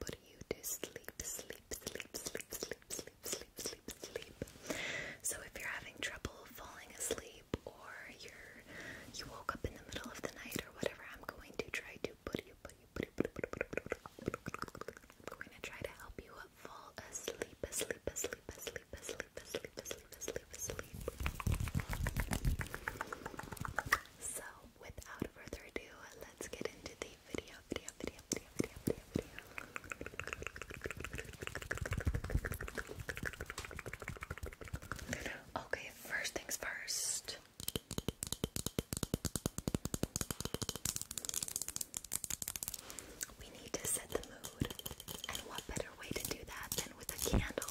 put you to sleep, sleep, sleep, sleep, sleep, sleep, sleep, sleep, sleep. So if you're having trouble falling asleep or you're you woke up in the middle of the night or whatever, I'm going to try to put you, put you, put you, put you, put you, put you, put you. I'm going to try to help you fall asleep, asleep, asleep, asleep, asleep, asleep, asleep, asleep, asleep. So without further ado, let's get into the video, video, video, video, video, video, video. Okay, first things first. We need to set the mood, and what better way to do that than with a candle?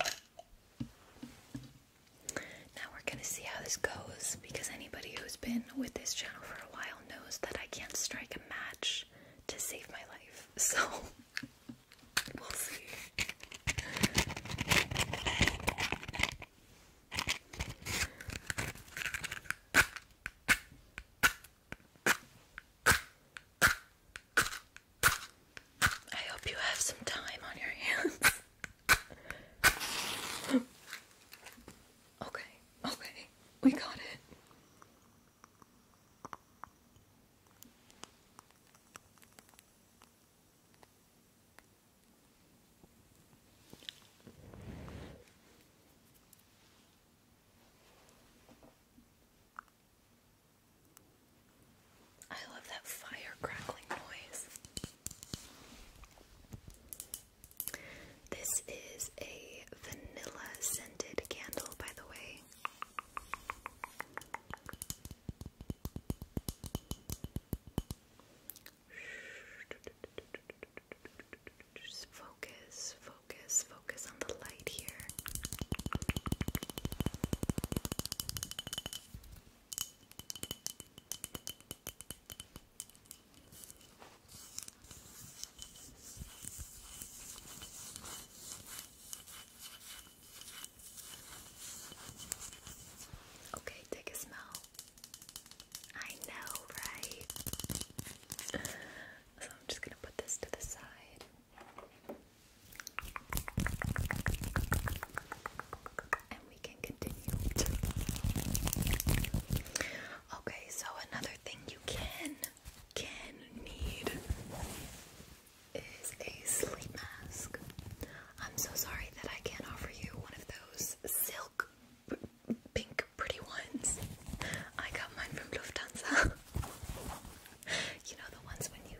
Now we're going to see how this goes because anybody who's been with this channel for a while knows that I can't strike a match to save my life. So we'll see. I hope you have some time on your hands. okay, okay, we got it. I love that fire crackling noise. This is a vanilla scented candle, by the way. Just focus, focus focus, focus on the light here. Okay, take a smell. I know, right? So I'm just gonna put this to the side. And we can continue. okay, so another thing you can can need is a sleep mask. I'm so sorry that I can't offer you one of those silk pink pretty ones. I got mine from Lufthansa. you know the ones when you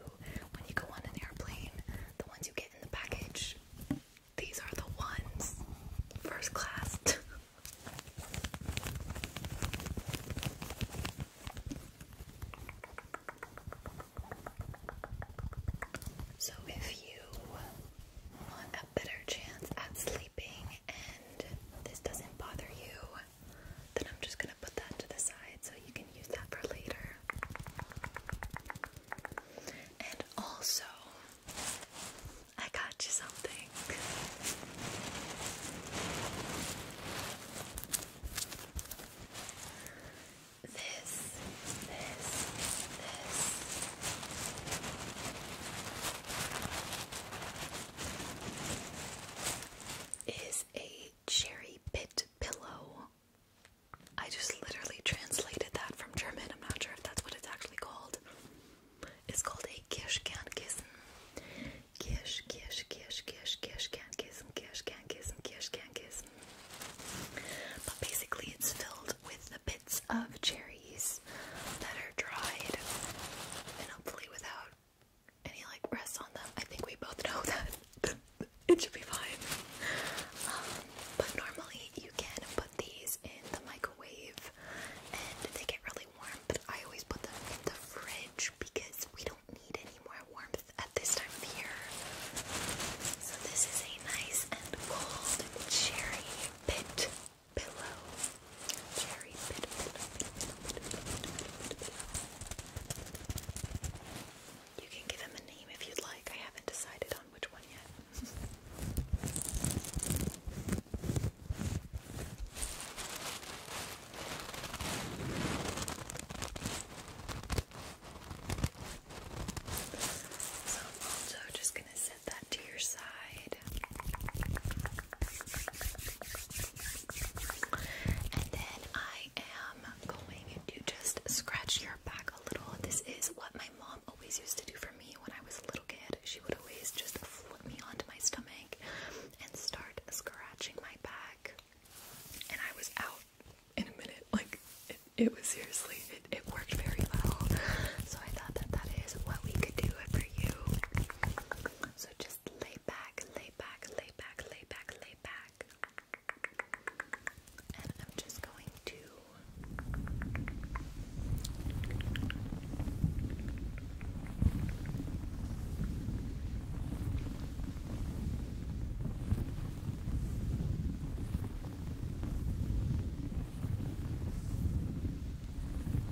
when you go on an airplane, the ones you get in the package. These are the ones first class. so if you want a better chance at sleeping and this doesn't bother you, then I'm just going to put that to the side so you can use that for later. And also, I got you something. This, this, this is a cherry pit pillow. I just literally translated that from German. I'm not sure if that's what it's actually called. It's called a Kirschkernkissen. Kirsch, Kirsch, Kirsch, Kirsch, Kirschkernkissen, Kirschkernkissen, Kirschkernkissen. But basically, it's filled with the bits of cherries that are dried and hopefully without and he like rests on them. I think we both know that it should be fine. Um, but normally you can put these in the microwave and they get really warm, but I always put them in the fridge because we don't need any more warmth at this time of year. So this is a nice and cold cherry pit pillow. Cherry pillow, You can give him a name if you'd like. I haven't decided on which one yet. so just gonna set that to your side. And then I am going to just scratch your back a little. This is what my mom always used to do for me when I was a little kid. She would always just flip me onto my stomach and start scratching my back. And I was out in a minute. Like, it, was seriously, it, worked very well. So I thought that that is what we could do if for you. So just lay back, lay back, lay back, lay back, lay back. And I'm just going to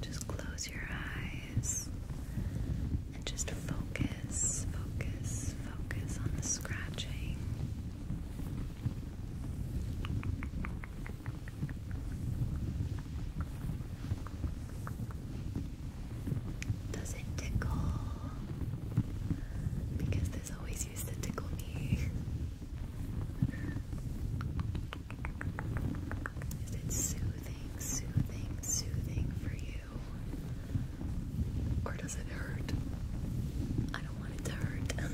Just close your eyes and just focus, focus, focus on the scratching. Does it tickle? Because this always used to tickle me. Is it soothing, soothing, soothing for you? Or does it hurt? I don't want it to hurt.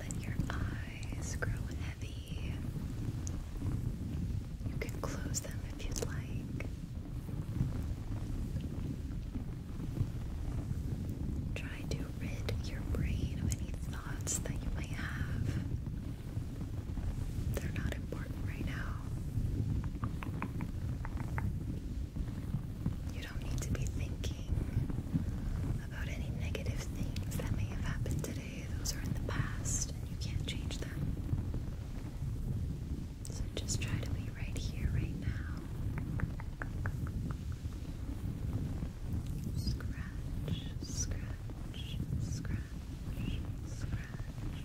Let your eyes grow heavy you can close them if you'd like. Try to rid your brain of any thoughts that you might have. They're not important right now. You don't need to be thinking about any negative things that may have happened today those are in the past and you can't change them. So just try to be right here, right now. scratch, scratch, scratch, scratch, scratch,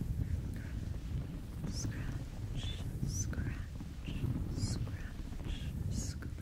scratch, scratch, scratch.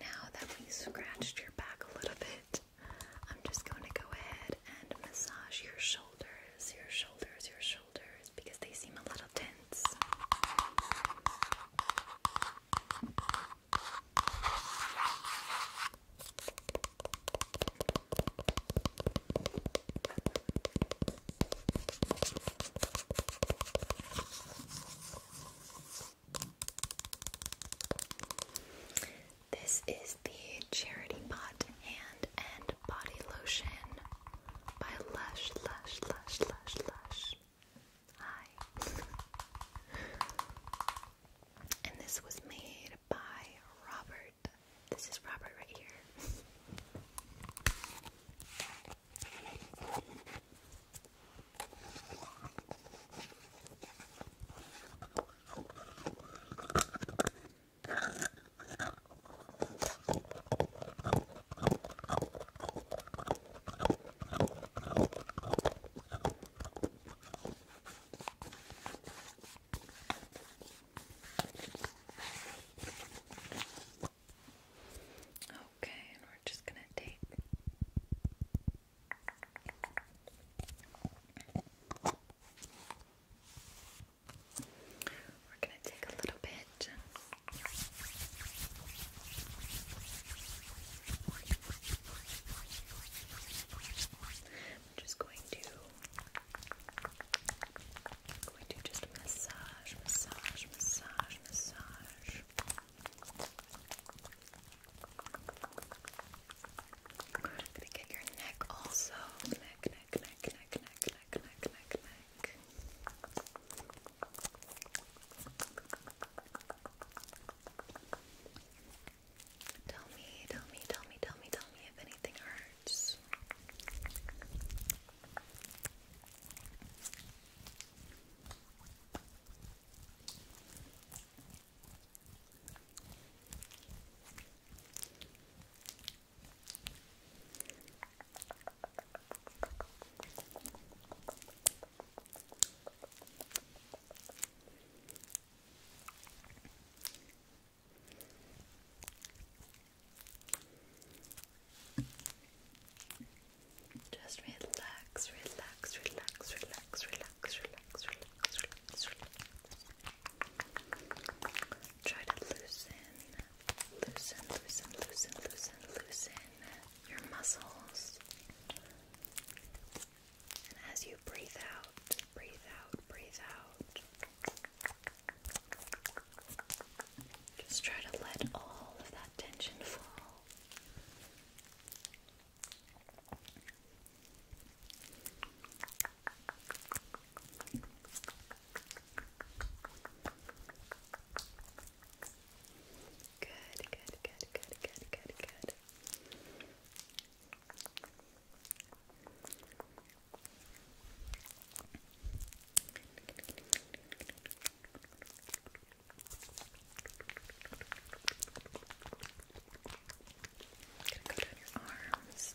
Now that we scratched your back a little bit, I'm just going to go ahead and massage your shoulders, your shoulders, your shoulders, because they seem a little tense. This is the Charity Pot Hand and Body Lotion by Lush, Lush, Lush, Lush, Lush. Hi. and this was made by Robert this is Robert right here. Okay, and we're just going to take We're going to take a little bit. I'm just going to I'm going to just massage, massage, massage, massage. I'm gonna get your neck also. Neck, neck, neck, neck, neck, neck, neck, neck, neck. Tell me, tell me, tell me, tell me, tell me if anything hurts cards. Just relax, relax, relax, relax, relax, relax, relax, relax, relax. Try to loosen, loosen, loosen, loosen, loosen, loosen your muscles. And as you breathe out, Breathe out, breathe out. Just try to let all of that tension fall. Good, good, good, good, good, good, good. Gonna go down your arms.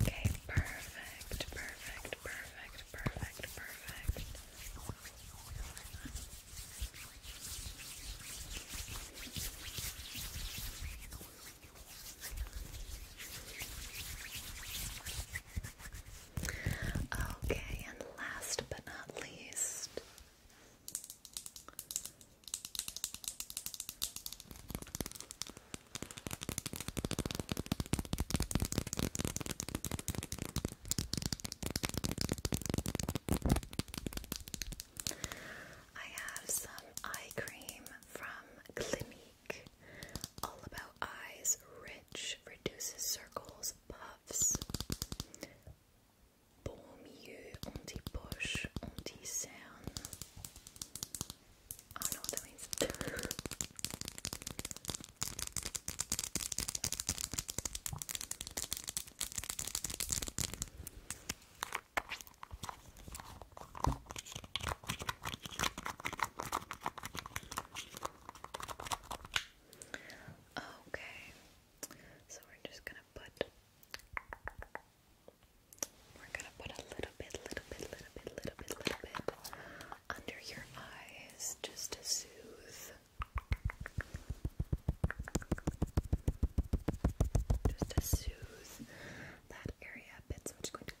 Okay, perfect, perfect, perfect, perfect, perfect. Okay, and last but not least, I have some eye cream from Clinique. All About Eyes Rich Reduces Circles Puffs. Bon milieu anti-poche anti-cerne. I don't know what that means. Okay, so we're just gonna put we're gonna put a little bit, little bit, little bit, little bit, little bit under your eyes just to soothe just to soothe that area a bit. So I'm just going to. Just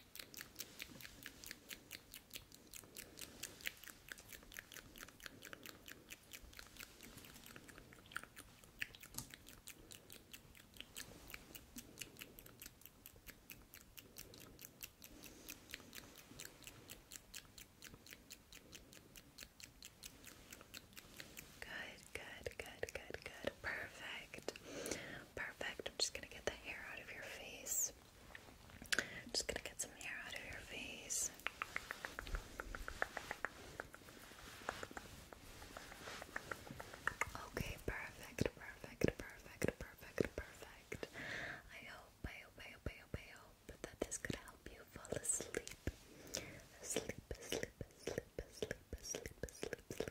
Good, good, good, good, good. Perfect. Perfect. I'm just gonna get the hair out of your face. Just gonna get some hair out of your face. Okay, perfect, perfect, perfect, perfect, perfect. I hope, I hope, I hope, I hope, I hope that this could help you fall asleep. Sleep, sleep, sleep, sleep, sleep, sleep, sleep,